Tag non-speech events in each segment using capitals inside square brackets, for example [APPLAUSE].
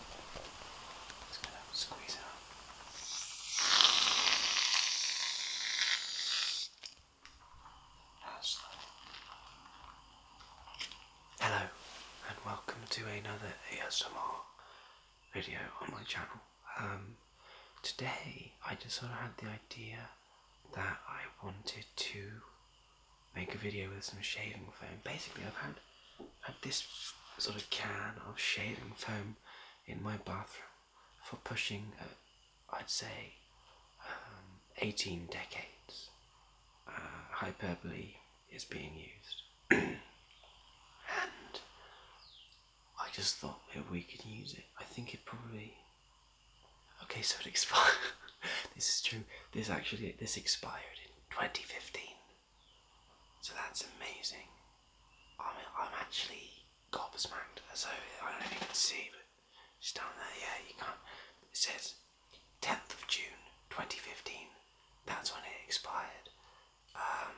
Hello and welcome to another ASMR video on my channel. Um, today I just sort of had the idea that I wanted to make a video with some shaving foam. Basically I've had at this sort of can of shaving foam in my bathroom for pushing, uh, I'd say, um, 18 decades. Uh, hyperbole is being used. [CLEARS THROAT] and I just thought maybe we could use it. I think it probably. Okay, so it expired. [LAUGHS] this is true. This actually, this expired in 2015. So that's amazing. I'm, I'm actually gobsmacked. So I don't know if you can see, but it's down there. Yeah, you can't. It says 10th of June 2015. That's when it expired. Um,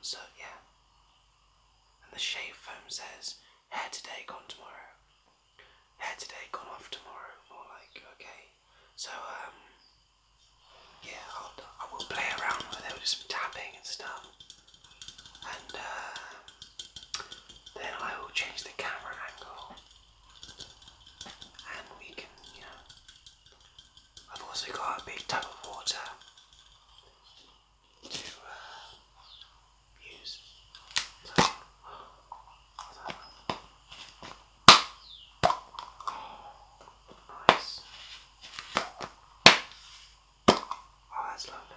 so yeah. And the shave foam says hair today, gone tomorrow hair today, gone off tomorrow, or like, okay. So, um, yeah, I'll, play around with it, just tapping and stuff. And uh, then I will change the camera angle. And we can, you know, I've also got a big tub of water to uh, use. Nice. Oh, that's lovely.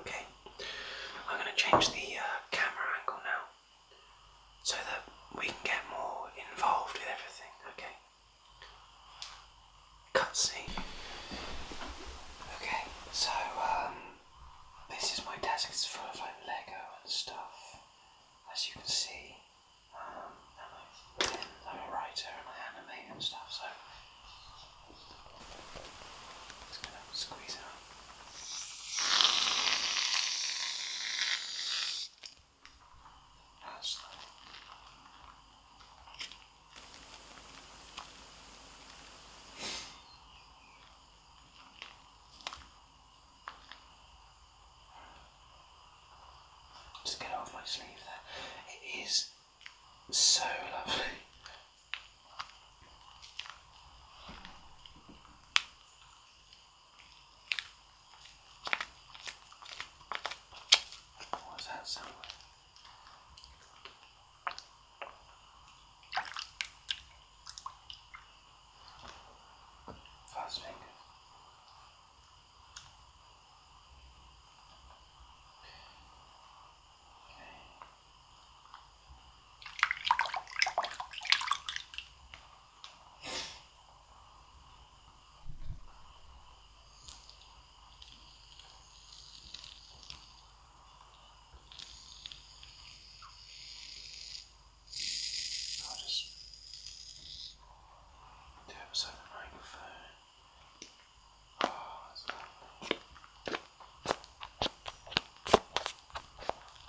Okay, I'm going to change the uh, camera angle now so that we can get more involved with everything, okay? Cutscene. Okay, so um, this is my desk, it's full of like Lego and stuff, as you can see. Um, and I'm, and I animate and stuff, so just gonna squeeze it up. That's Just get off my sleeve there. It is so lovely. What does that sound like? Fast fingers. Okay. I'll just do it beside the microphone. Oh, that's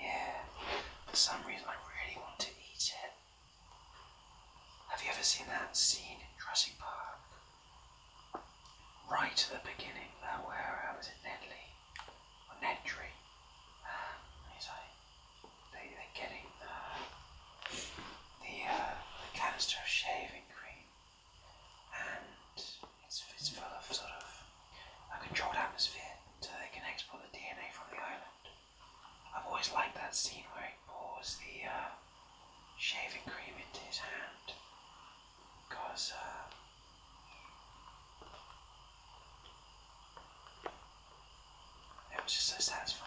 Yeah, for some reason I really want to eat it. Have you ever seen that scene in Jurassic Park? Right at the beginning, there where I uh, was it Nedley Lee or Ned Tree? Um, he's they they're getting the the uh, the canister of shaving cream, and it's it's full of sort of a controlled atmosphere, so they can export the DNA from the island. I've always liked that scene where he pours the uh, shaving cream into his hand because uh, it was just so satisfying.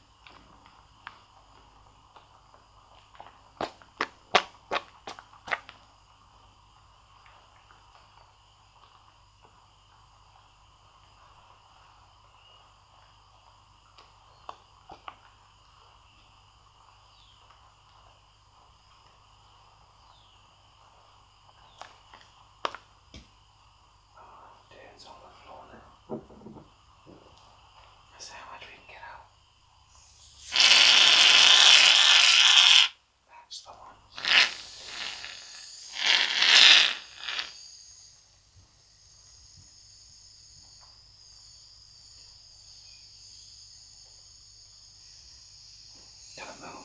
Dance on the floor now. Let's see how much we can get out. That's the one. Got a moon.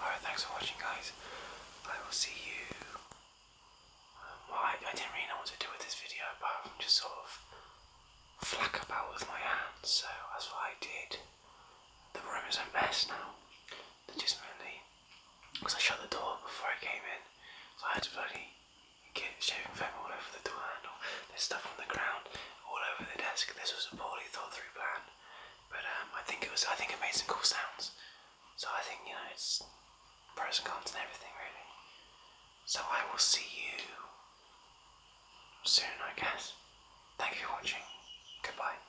Alright, thanks for watching, guys. I will see you. Um, well, I, didn't really know what to do with this video apart from just sort of flack about with my hands, so that's what I did. The room is a mess now. Legitimately, because I shut the door before I came in, so I had to bloody get shaving foam all over the door handle. There's stuff on the ground, all over the desk. This was a poorly thought through plan, but um, I think it was. I think it made some cool sounds. So I think you know it's pros and cons and everything really. So I will see you soon, I guess. Thank you for watching. Goodbye.